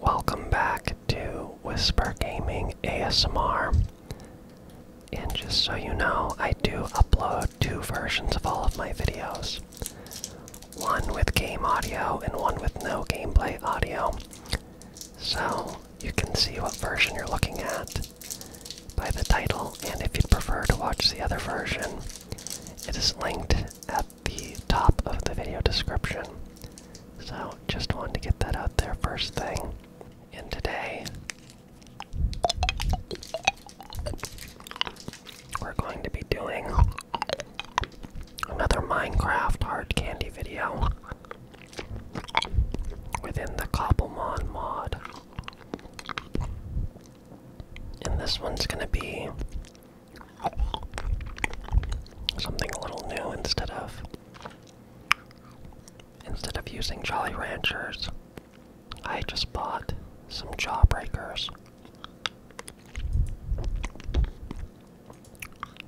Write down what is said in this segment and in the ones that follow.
Welcome back to Whisper Gaming ASMR. And just so you know, I do upload two versions of all of my videos one with game audio and one with no gameplay audio. So you can see what version you're looking at by the title, and if you'd prefer to watch the other version, it is linked at the top of the video description. So, just wanted to get that out there first thing. And today, we're going to be doing another Minecraft hard candy video within the Cobblemon mod. And this one's gonna be Something a little new instead of instead of using Jolly Ranchers, I just bought some Jawbreakers.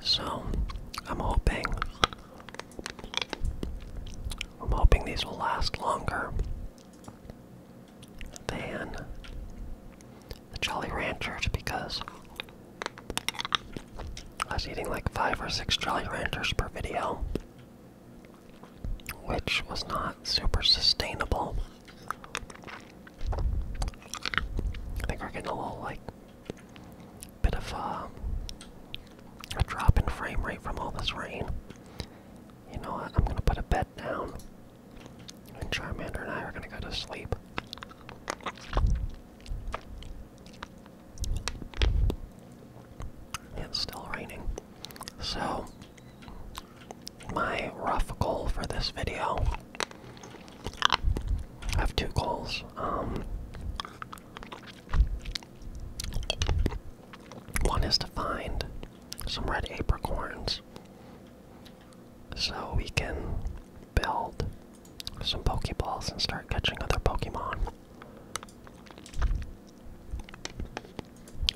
So I'm hoping I'm hoping these will last longer than the Jolly Ranchers because I was eating like five or six Jolly Ranchers per video, which was not super sustainable. I think we're getting a little like bit of uh, a drop in frame rate from all this rain. You know what? I'm gonna put a bed down and Charmander and I are gonna go to sleep. It's still raining. So, my rough goal for this video I have two goals. Um, one is to find some red apricorns so we can build some Pokeballs and start catching other Pokemon.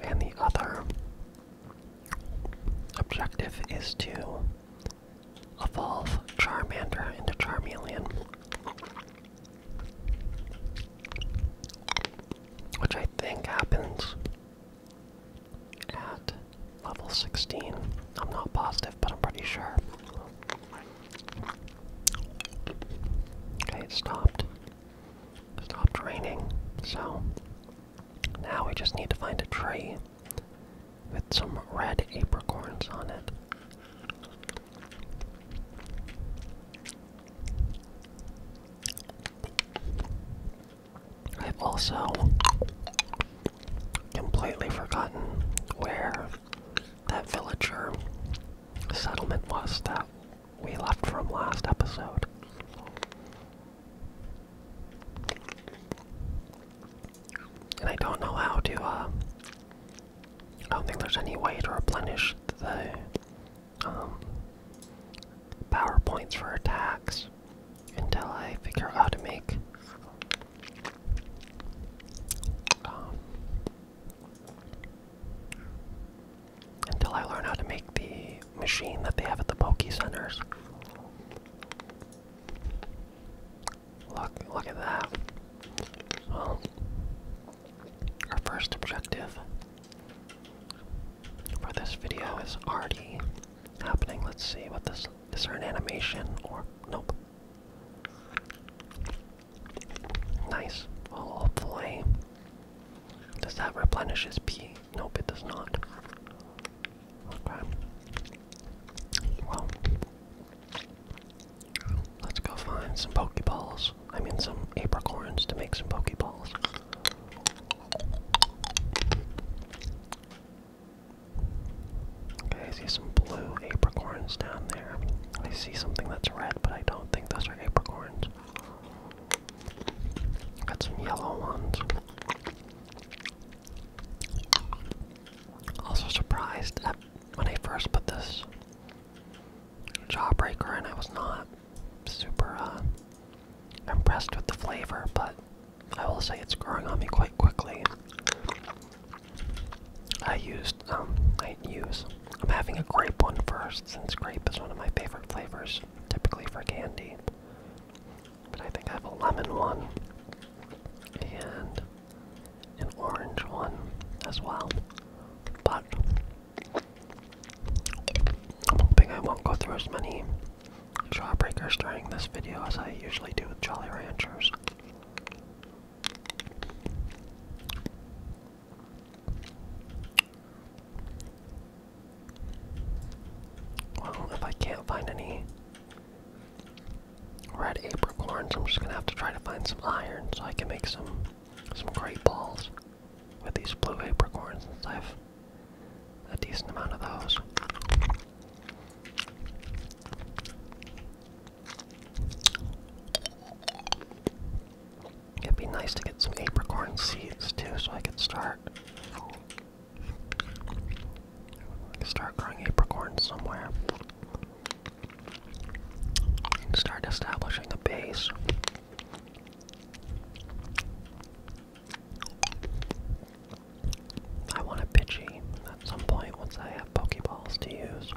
And the other objective is to evolve Charmander into Charmeleon. Which I think happens at level 16. I'm not positive, but I'm pretty sure. Okay, it stopped. It stopped raining, so now we just need to find a tree with some red apricorns on it. I've also completely forgotten where that villager settlement was that we left from last episode. And I don't know how to, uh, I don't think there's any way to replenish the, um, Powerpoints for attacks until I figure out how to make um, until I learn how to make the machine that they have at the pokey Centers. Look, look at that. Well, our first objective for this video is already happening. Let's see what this is there an animation or nope. Nice. Well i Does that replenish his P? Nope, it does not. Okay. Well let's go find some Pokeballs. I mean some apricorns to make some Pokeballs. Okay, I see some blue apricorns down there. I see something that's red, but I don't think those are apricorns. Got some yellow ones. Also surprised that when I first put this jawbreaker in, I was not super uh, impressed with the flavor, but I will say it's growing on me quite quickly. I used, um, I use, I'm having a grape one first, since grape is one of my favorite flavors, typically for candy. But I think I have a lemon one, and an orange one as well. But I'm hoping I won't go through as many jawbreakers during this video as I usually do with Jolly Ranchers. Well, if I can't find any red apricorns, I'm just gonna have to try to find some iron so I can make some some great balls with these blue apricorns I have A decent amount of those. It'd be nice to get some apricorn seeds too, so I could start. start growing apricorns somewhere. And start establishing a base. I want a Pidgey at some point once I have Pokeballs to use.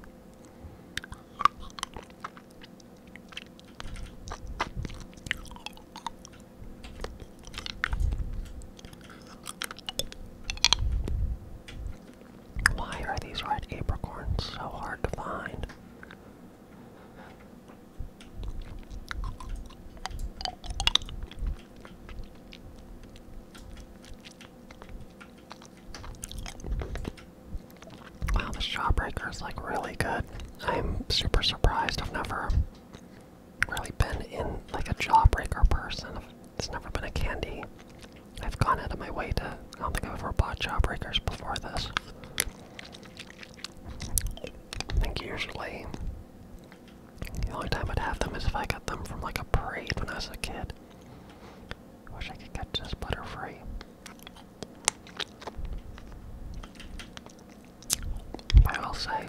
Why are these red apricorns so hard to find? Wow, the Shawbreaker is like really good. I'm super surprised. I've never really been in like a Jawbreaker person. It's never been a candy. I've gone out of my way to. I don't think I've ever bought Jawbreakers before this. I think usually the only time I'd have them is if I got them from like a parade when I was a kid. wish I could catch this butterfree. But I will say,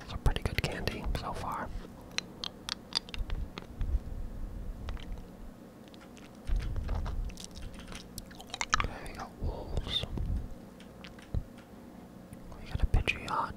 it's a pretty good candy so far. Okay, we got wolves. We got a Pidgeot.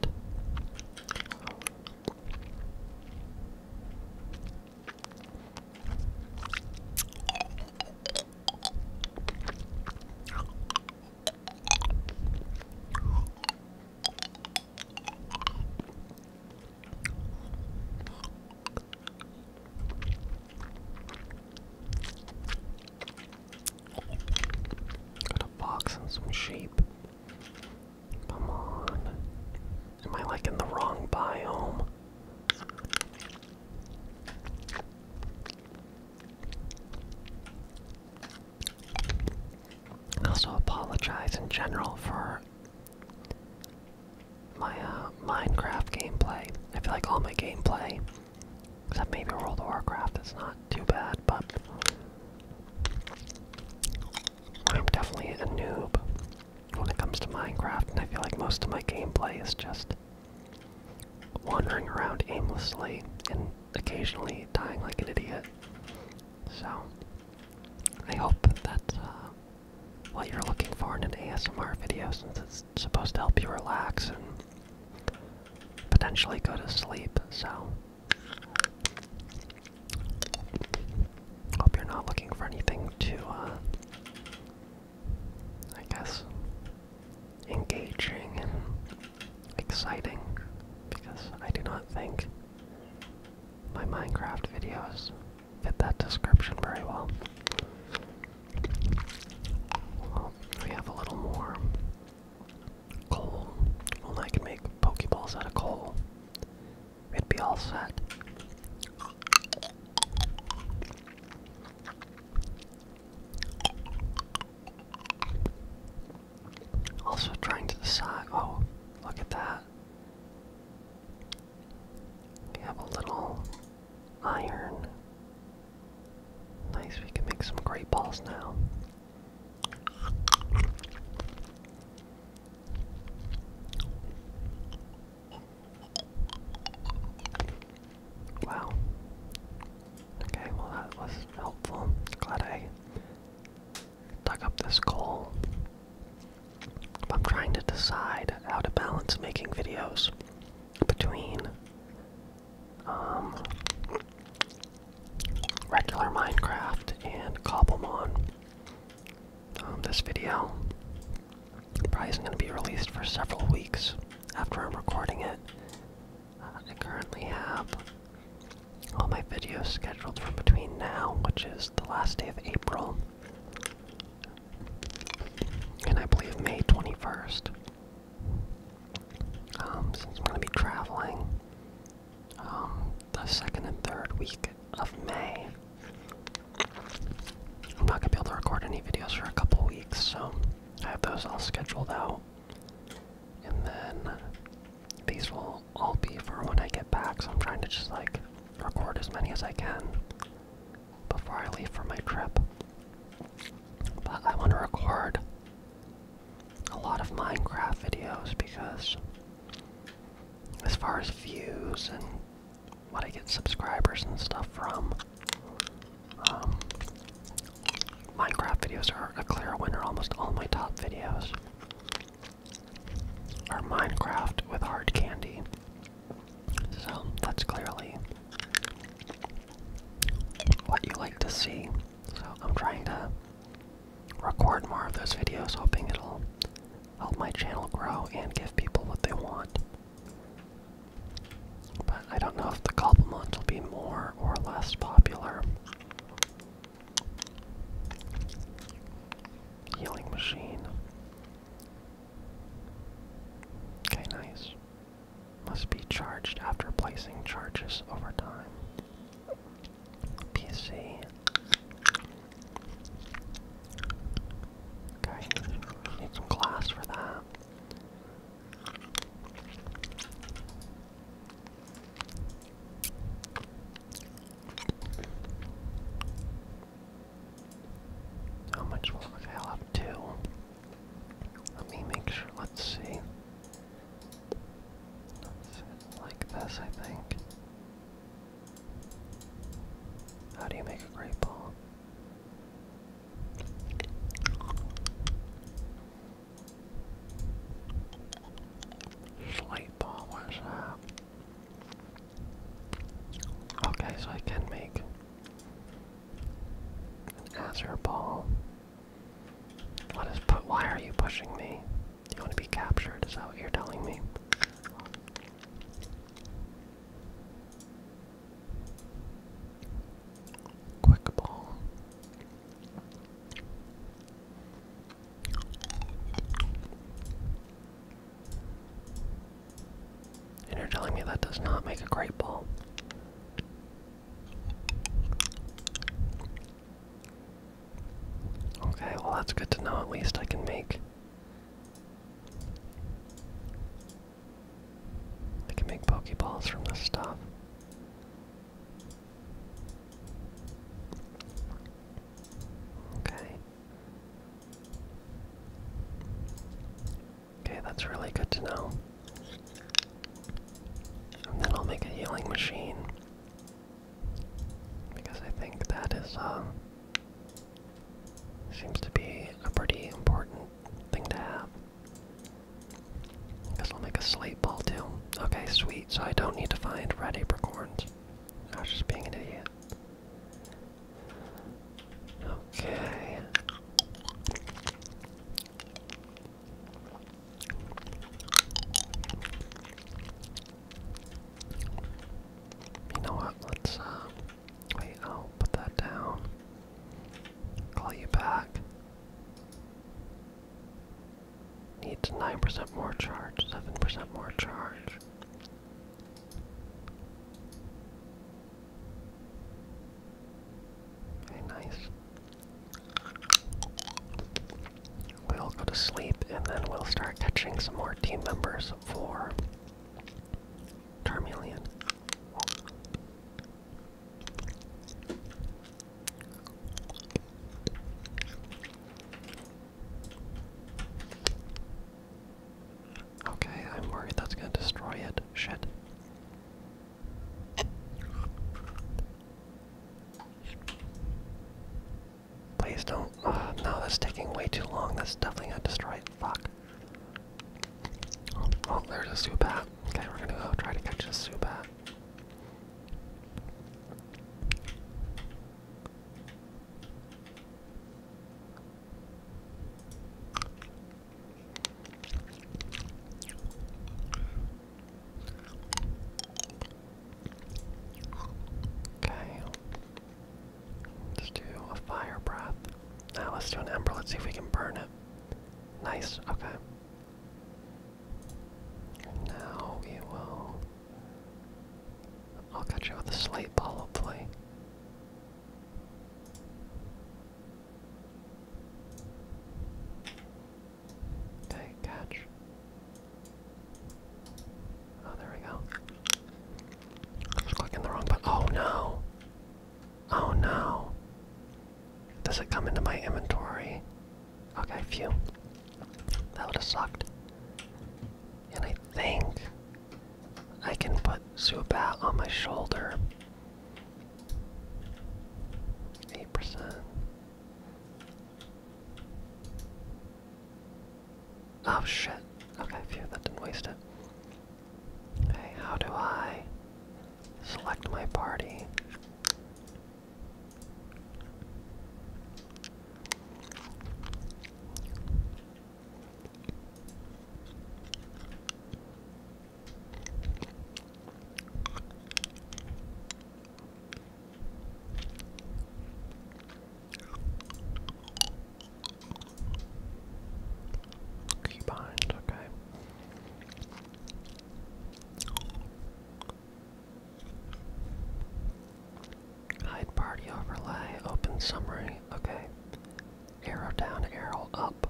Got a box and some sheep. Come on. Am I like in the wrong biome? I also apologize in general for my uh, Minecraft gameplay. I feel like all my gameplay Except maybe World of Warcraft is not too bad, but I'm definitely a noob when it comes to Minecraft, and I feel like most of my gameplay is just wandering around aimlessly and occasionally dying like an idiot. So, I hope that uh, what you're looking for in an ASMR video since it's it's supposed to help you relax and potentially go to sleep, so. Hope you're not looking for anything to, uh, I guess, engaging and exciting, because I do not think my Minecraft videos fit that description very well. We have a little more coal. Well, I can make Pokeballs out of coal. It'd be all set. Also trying to decide. Oh, look at that. We have a little iron Nice, we can make some great balls now. Wow. Okay, well that was helpful. Glad I dug up this coal. I'm trying to decide how to balance making videos between um, regular Minecraft and Cobblemon. Um, this video probably isn't going to be released for several weeks after I'm recording it. Uh, I currently have all my videos scheduled from between now, which is the last day of April, and I believe May 21st. Um, since I'm going to be traveling um, the second and third week of May. I'm not going to be able to record any videos for a couple weeks, so I have those all scheduled out. And then these will all be for when I get back, so I'm trying to just like record as many as I can before I leave for my trip. But I want to record a lot of Minecraft videos because, as far as views and what I get subscribers and stuff from, um, Minecraft videos are a clear winner. Almost all my top videos are Minecraft with hard candy. So that's clearly what you like to see. So I'm trying to record more of those videos, hoping it'll help my channel grow and give people what they want. But I don't know if the compliments will be more or less popular. Healing machine. Okay, nice must be charged after placing charges over time. PC. Okay, need some glass for that. How much will okay, I'll have let me make sure, let's see. like this, I think. How do you make a great ball? Slight ball, where's that? Okay, so I can make as What is ball, Why are you pushing me? You want to be captured? Is that what you're telling me? Quick ball. And you're telling me that does not make a great ball. Okay, well, that's good to know. At least I can make. I can make Pokeballs from this stuff. Okay. Okay, that's really good to know. And then I'll make a healing machine. Because I think that is, uh, seems to be a pretty important thing to have. Because I'll make a slate ball too. Okay, sweet, so I don't need to find red apricorns. I was just being an idiot. Okay. You know what? Let's, uh, wait, I'll put that down. Call you back. Needs 9% more charge, 7% more charge. Very nice. We'll go to sleep and then we'll start catching some more team members for Charmeleon. Okay, I'm worried that's gonna destroy it. Shit. Please don't. Ah, no, that's taking way too long. That's definitely gonna destroy it. Fuck. Oh, there's a Zubat. Okay, we're gonna go try to catch a Zubat. Okay. Let's do a fire breath. Now let's do an ember. Let's see if we can burn it. Nice. Okay. now we will. I'll catch you with a slate ball, hopefully. Dang, catch. Oh, there we go. I clicking the wrong button. Oh no! Oh no! Does it come into my inventory? Okay, phew. That would have sucked. And I think I can put Zubat on my shoulder. 8%. Oh shit. Okay, fear that didn't waste it. Okay, how do I select my party? Keybinds, okay. Hide party overlay, open summary, okay. Arrow down, arrow up.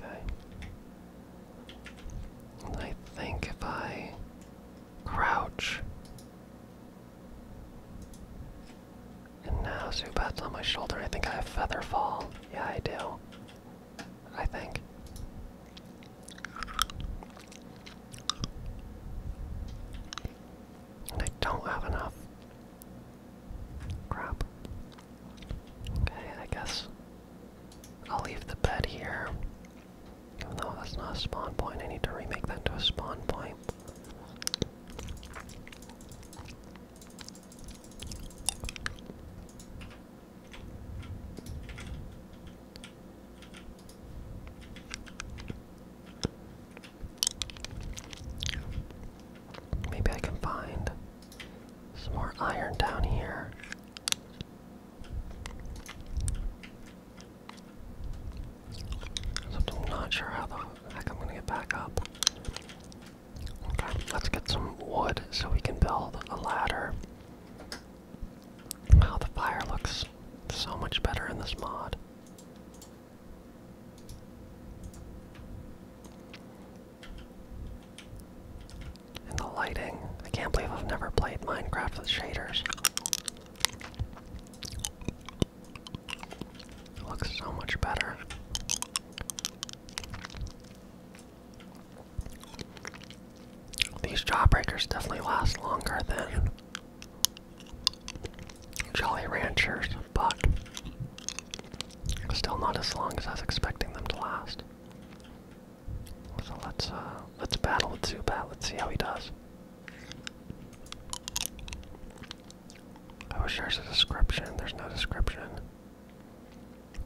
Okay. I think if I crouch. And now Zubat's on my shoulder. I think I have Feather Fall. Yeah, I do. I think. I don't have enough Crap. Okay, I guess I'll leave the bed here. Even that's not a spawn point, I need to remake that to a spawn point. Maybe I can find some more iron down here. I'm not sure how the heck I'm gonna get back up. Okay, let's get some wood so we can build a ladder. Wow, the fire looks so much better in this mod. And the lighting. I can't believe I've never played Minecraft with shaders. looks so much better. These jawbreakers definitely last longer than Jolly Ranchers, but still not as long as I was expecting them to last. So let's uh, let's battle with Zubat. Let's see how he does. I oh, there's a description. There's no description.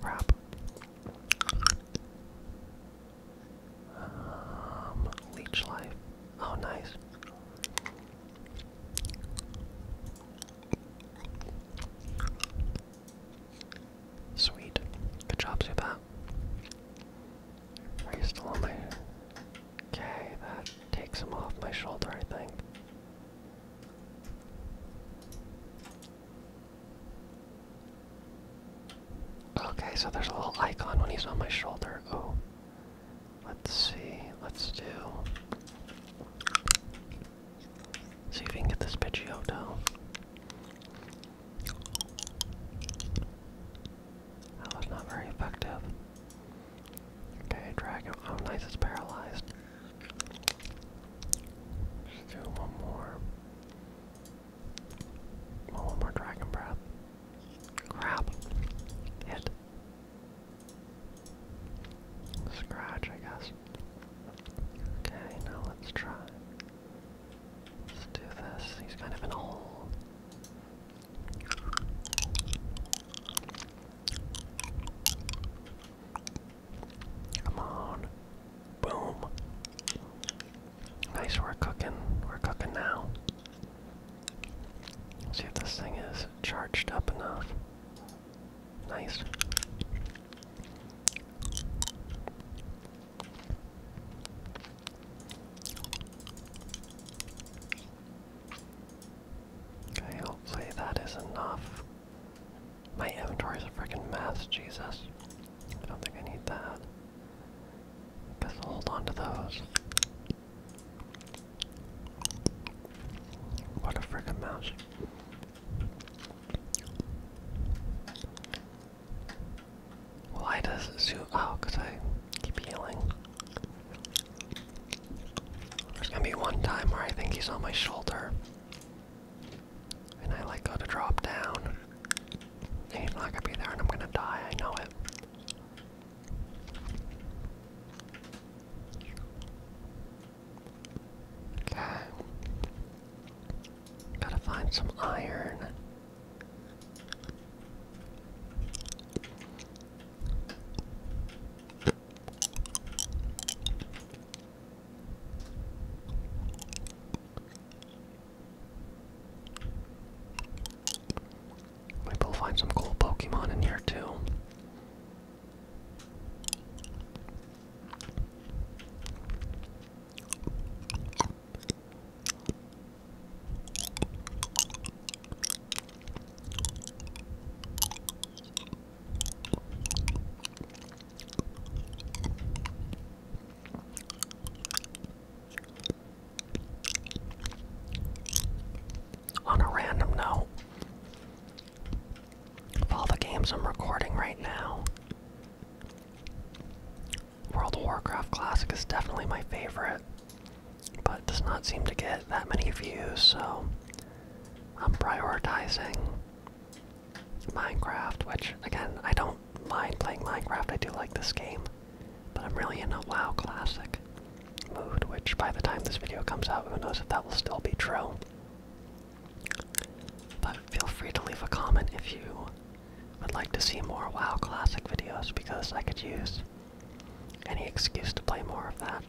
Crap. Um, leech life. Oh, nice. Sweet. Good job, Zubat. Are you still on my... Okay, that takes him off my shoulder, I think. Okay, so there's a little icon when he's on my shoulder. Oh. Let's see. Let's do. See if we can get this Pidgeotto. That was not very effective. Okay, Dragon. Oh, nice, it's paralyzed. let do one more. Oh, one more Dragon Breath. Crap. Hit. Scratch, I guess. Okay, now let's try. Let's do this. He's kind of in a hole. Come on. Boom. Nice, we cooking. We're cooking now. See if this thing is charged up enough. Nice. Okay, hopefully that is enough. My inventory's a freaking mess, Jesus. I don't think I need that. Guess i hold on those. What a freaking mouse. Why does it zoom? Oh, because I keep healing. There's gonna be one time where I think he's on my shoulder. And I like go to drop down. And he's not gonna be there and I'm gonna die, I know it. Okay. Gotta find some iron we'll find some cool Pokemon in here too. On a random note, of all the games I'm recording right now, World of Warcraft Classic is definitely my favorite, but does not seem to get that many views, so I'm prioritizing Minecraft, which, again, I don't mind playing Minecraft, I do like this game. But I'm really in a WoW Classic mood, which by the time this video comes out, who knows if that will still be true. But feel free to leave a comment if you would like to see more WoW Classic videos, because I could use any excuse to play more of that.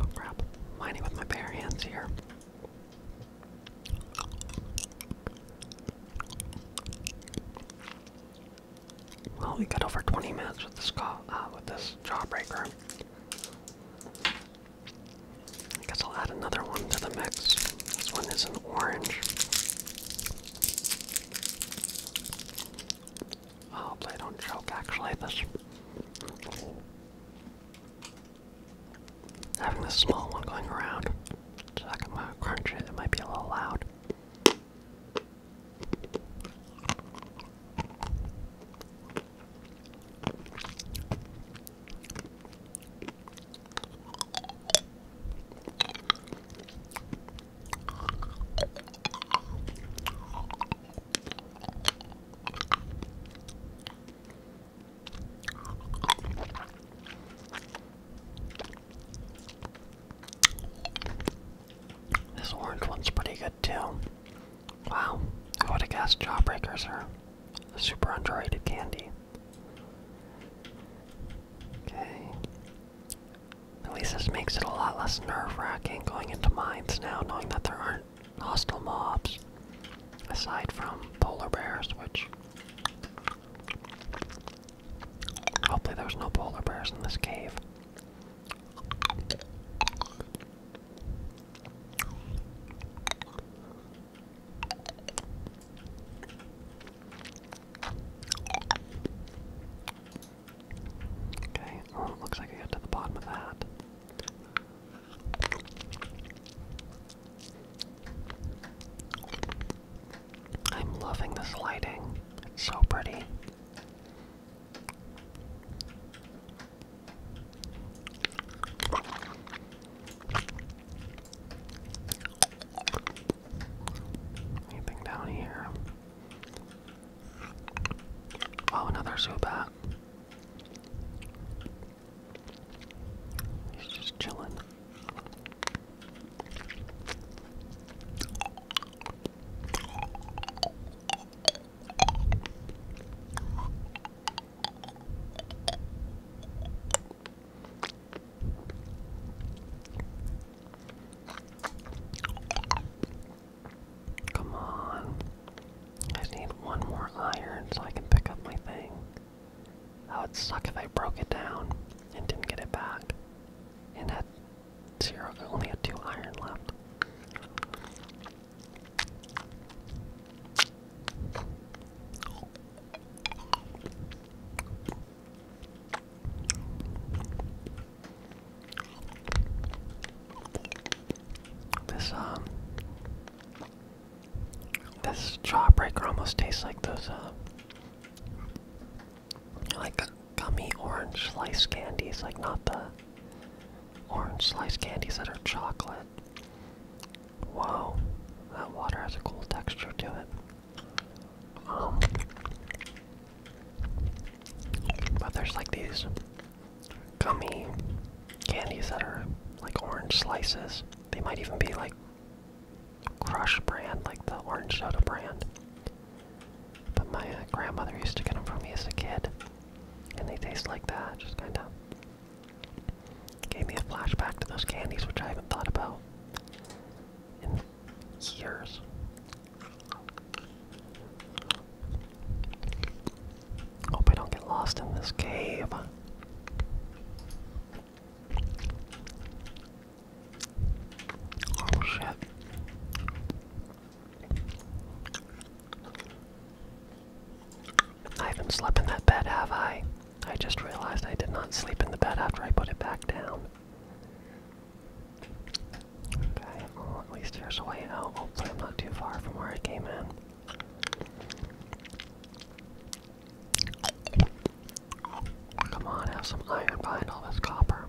Oh crap, mining with my bare hands here. Well, we got over 20 minutes uh, with this jawbreaker. I guess I'll add another one to the mix. This one is an orange. Oh, play don't choke actually this having this small one going around so I can it might be a little loud. This orange one's pretty good too. Wow, I would have guessed Jawbreakers are super underrated candy. Okay. At least this makes it a lot less nerve wracking going into mines now, knowing that there aren't hostile mobs. Aside from polar bears, which Hopefully there's no polar bears in this cave. Okay, well, oh, looks like I got to the bottom of that. I'm loving this lighting. It's so pretty. Anything down here? Oh, another Zubat. He's just chilling. Come on. I just need one more iron so I can pick up my thing. That would suck if I broke it down and didn't get it back. And had zero only had two iron left. This um this Jawbreaker almost tastes like those, uh, like gummy orange slice candies, like not the orange slice candies that are chocolate. Whoa, that water has a cool texture to it. Um, but there's like these gummy candies that are like orange slices. They might even be like Crush brand, like the orange soda brand. But my uh, grandmother used to get them for me as a kid, and they taste like that. Just kind of gave me a flashback to those candies, which I haven't thought about in years. Hope I don't get lost in this cave. Oh shit. I haven't slept in that bed, have I? I just realized I did not sleep in the bed after I put it back down. Okay, well, at least there's a way out. Hopefully, I'm not too far from where I came in. Come on, have some iron behind all this copper.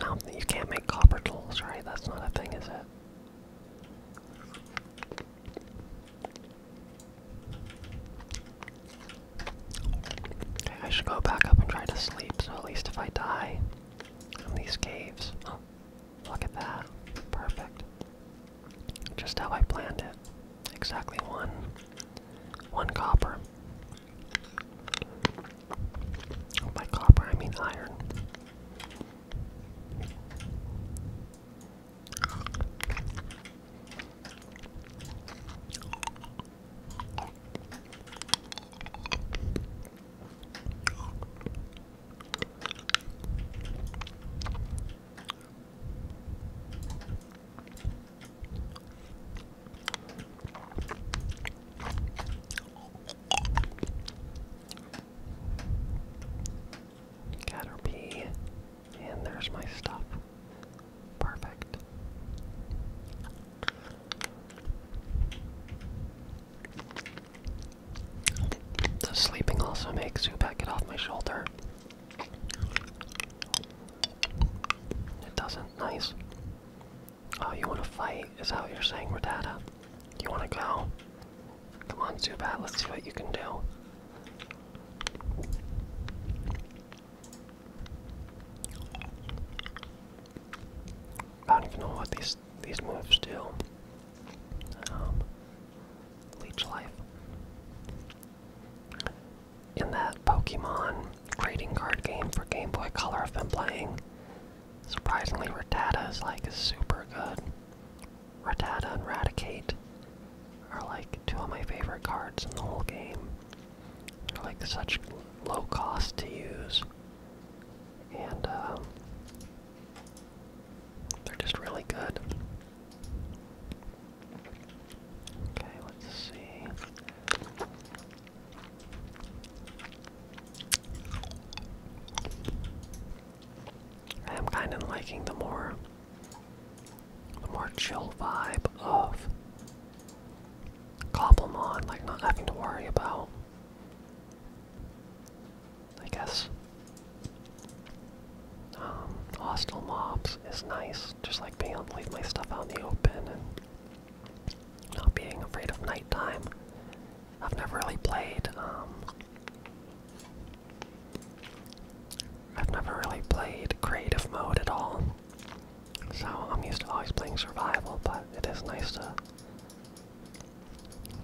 I don't think you can't make copper tools, right? That's not a thing, is it? I should go back up and try to sleep, so at least if I die in these caves. Oh, look at that. Perfect. Just how I planned it. Exactly one. One copper. Oh, by copper, I mean iron. Caterpie, and there's my stuff. Perfect. The sleeping also makes Zubat get off my shoulder. It doesn't. Nice. Oh, you want to fight? Is that what you're saying, Rattata? You want to go? Come on, Zubat. Let's see what you can do. I don't even know what these these moves do um, Leech Life. In that Pokemon trading card game for Game Boy Color I've been playing, surprisingly Rattata is like super good. Rattata and Raticate are like two of my favorite cards in the whole game. They're like such low cost to use. And um, they're just really good. Okay, let's see. I am kind of liking the more, the more chill vibe of Cobblemon, like not having to worry about I guess. Um, hostile mobs is nice, just like being able to leave my stuff out in the open and not being afraid of nighttime. I've never really played, um, I've never really played creative mode at all, so I'm used to always playing survival, but it is nice to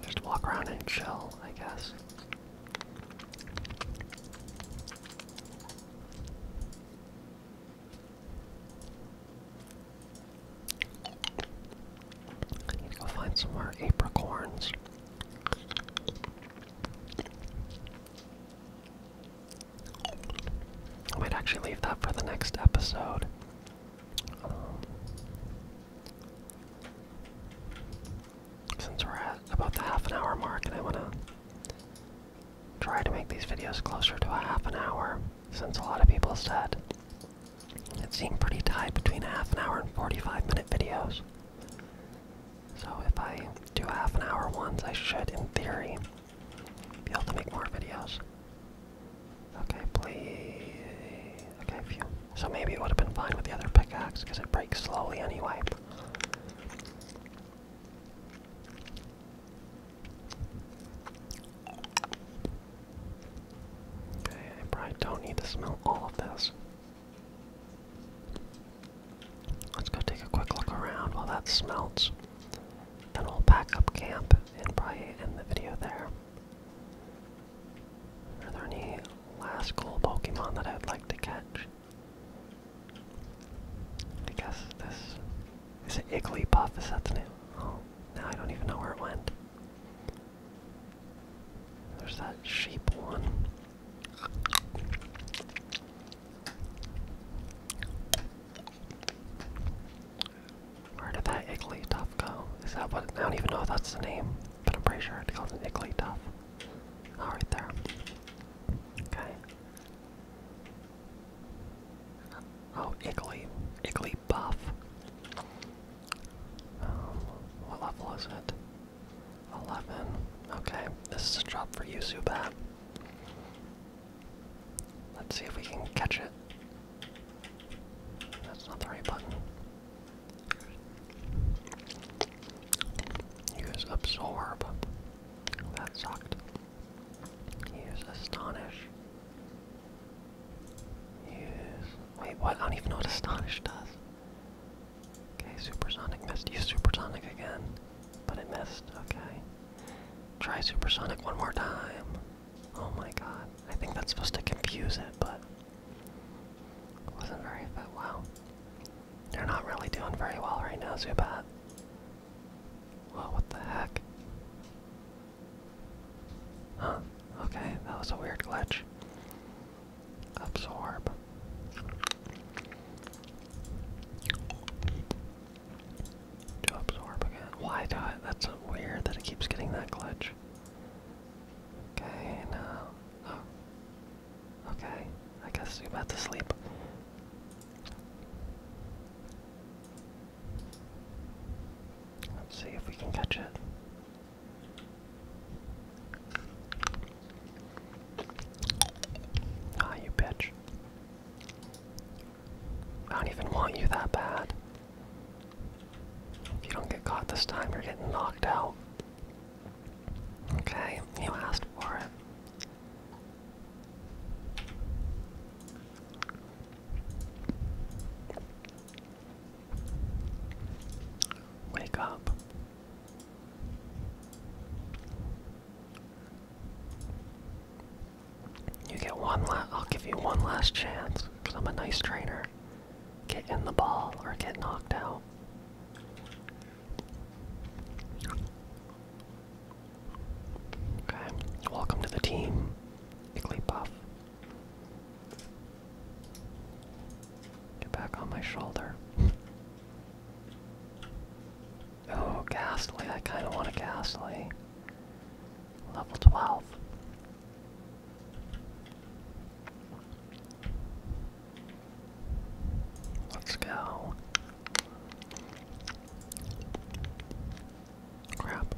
just walk around and chill, I guess. I need to go find some more apricorns. I might actually leave that for the next episode. Um, since we're at about the half an hour mark, and I want to try to make these videos closer to a half an hour, since a lot of people said it seemed pretty tight between a half an hour and 45 minute videos. So if I do half an hour ones, I should, in theory, be able to make more videos. Okay, please. Okay, So maybe it would have been fine with the other pickaxe because it breaks slowly anyway. Okay, I probably don't need to smell all of this. Let's go take a quick look around while that smelts. Then we'll pack up camp and probably end the video there. Are there any last cool Pokemon that I'd like to catch? I guess this is it puff is that the name? Oh, now I don't even know where it went. There's that sheep one. Where did that Igglytuff go? Is that what? I don't even know if that's the name, but I'm pretty sure it's called an puff. All right there. Okay. Oh, Iggly. Iggly buff. Um, what level is it? 11. Okay, this is a drop for you, Let's see if we can catch it. That's not the right button. Use absorb. That sucked. Use astonish. Use. Wait, what? I don't even know what astonish does. Okay, supersonic missed. Use supersonic again, but it missed. Okay. Try supersonic one more time. Oh my god. I think that's supposed to confuse it, but wasn't very fit. They're not really doing very well right now, Zubat. Whoa, what the heck? Huh. Okay, that was a weird glitch. Absorb. To absorb again. Why do That's weird that it keeps getting that glitch. Okay, now. Oh. Okay, I guess you're about to sleep. Let's see if we can catch it. Ah, you bitch. I don't even want you that bad. If you don't get caught this time, you're getting knocked out. Okay, you asked for it. Wake up. You get one last, I'll give you one last chance, because I'm a nice trainer get in the ball or get knocked out. Okay, welcome to the team, Igglybuff. Get back on my shoulder. Oh, Ghastly, I kinda want a Ghastly. Level 12. Let's go. Crap.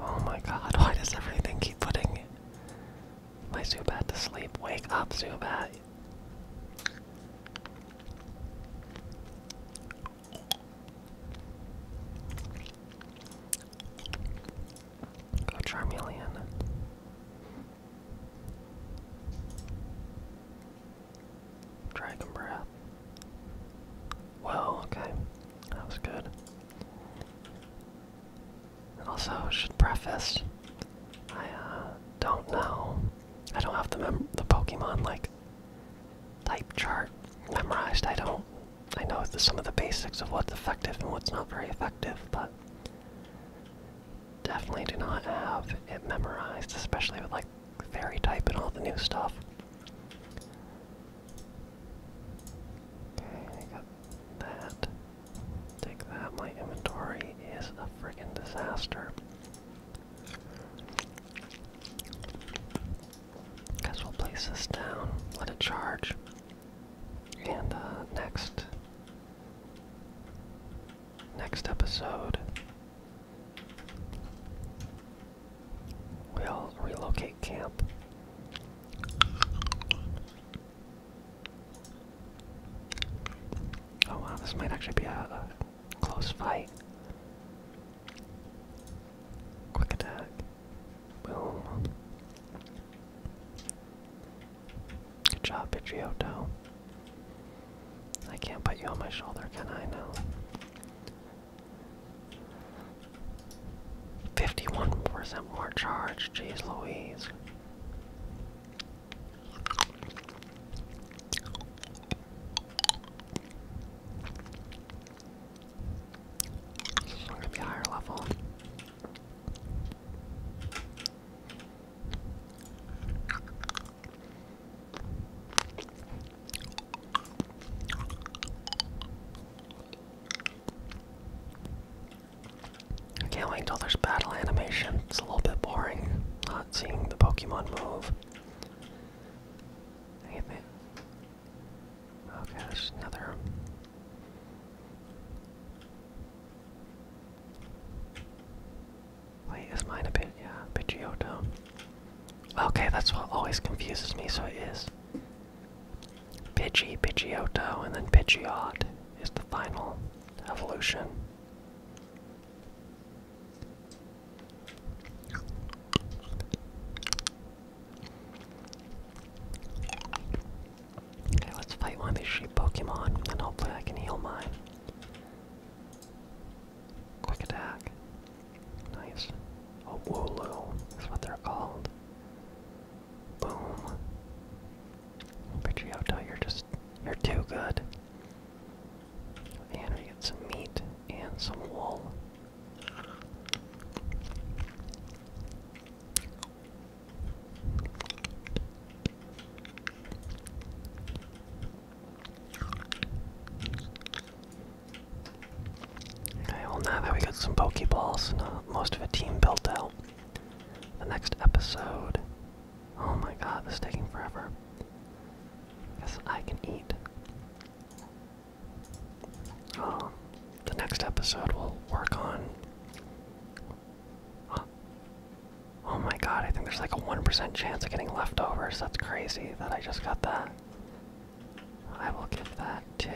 Oh my god, why does everything keep putting my Zubat to sleep? Wake up, Zubat! Go Charmeleon. Dragon Breath. Well, okay. That was good. also, I should preface, I uh, don't know. I don't have the mem the Pokemon like type chart memorized. I don't. I know some of the basics of what's effective and what's not very effective, but definitely do not have it memorized, especially with like fairy type and all the new stuff. Okay, got that. Take that. My inventory is a friggin' disaster. Guess we'll place this down, let it charge. And uh, next, next episode, we'll relocate camp. Oh wow, this might actually be a Close fight. Quick attack. Boom. Good job, Pidgeotto. I can't put you on my shoulder, can I now? 51% more charge, jeez Louise. It's gonna be higher level. I can't wait till there's battle animation. It's a little bit boring not seeing the Pokemon move. Damn it. Okay, there's another. Wait, is mine a bit, yeah, a Okay, that's what always confuses me, so it is. Pidgey, Pidgeotto, and then Pidgeot is the final evolution. Okay, let's fight one of these sheep Pokemon, and hopefully I can heal mine. Quick attack. Nice. Oh, Wooloo is what they're called. Boom. Pidgeotto, you're just, you're too good. And we get some meat and some wool. Okay, well now that we got some Pokeballs and uh, most of a team built out, the next episode. Oh my god, this is taking forever. Yes, I can eat. Um, the next episode we'll work on. Oh my god, I think there's like a 1% chance of getting leftovers. That's crazy that I just got that. I will give that to.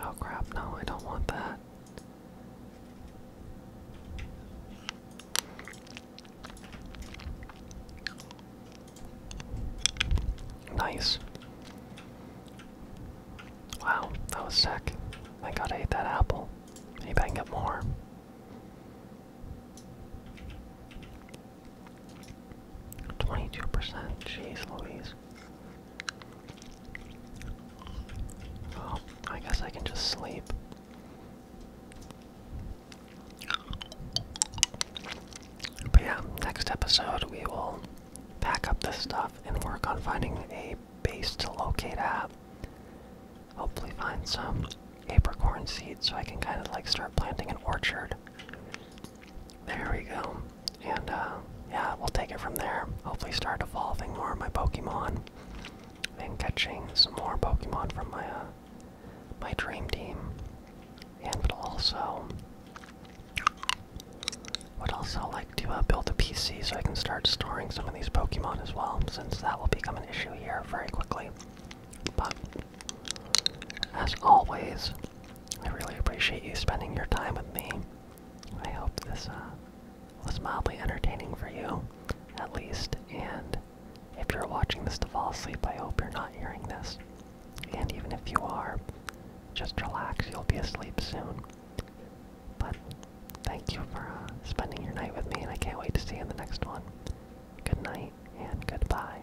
Oh crap, no, I don't want that. Nice. Wow, that was sick. I gotta eat that apple. Maybe I can get more. Twenty-two percent. Jeez, Louise. Oh, I guess I can just sleep. But yeah, next episode we will pack up this stuff and work on finding a base to locate at. Hopefully find some apricot seeds so I can kind of like start planting an orchard. There we go. And uh, yeah, we'll take it from there. Hopefully, start evolving more of my Pokemon and catching some more Pokemon from my uh, my dream team. And would also would also like to uh, build a PC so I can start storing some of these Pokemon as well, since that will become an issue here very quickly. But as always, I really appreciate you spending your time with me. I hope this uh, was mildly entertaining for you, at least. And if you're watching this to fall asleep, I hope you're not hearing this. And even if you are, just relax, you'll be asleep soon. But thank you for uh, spending your night with me, and I can't wait to see you in the next one. Good night, and goodbye.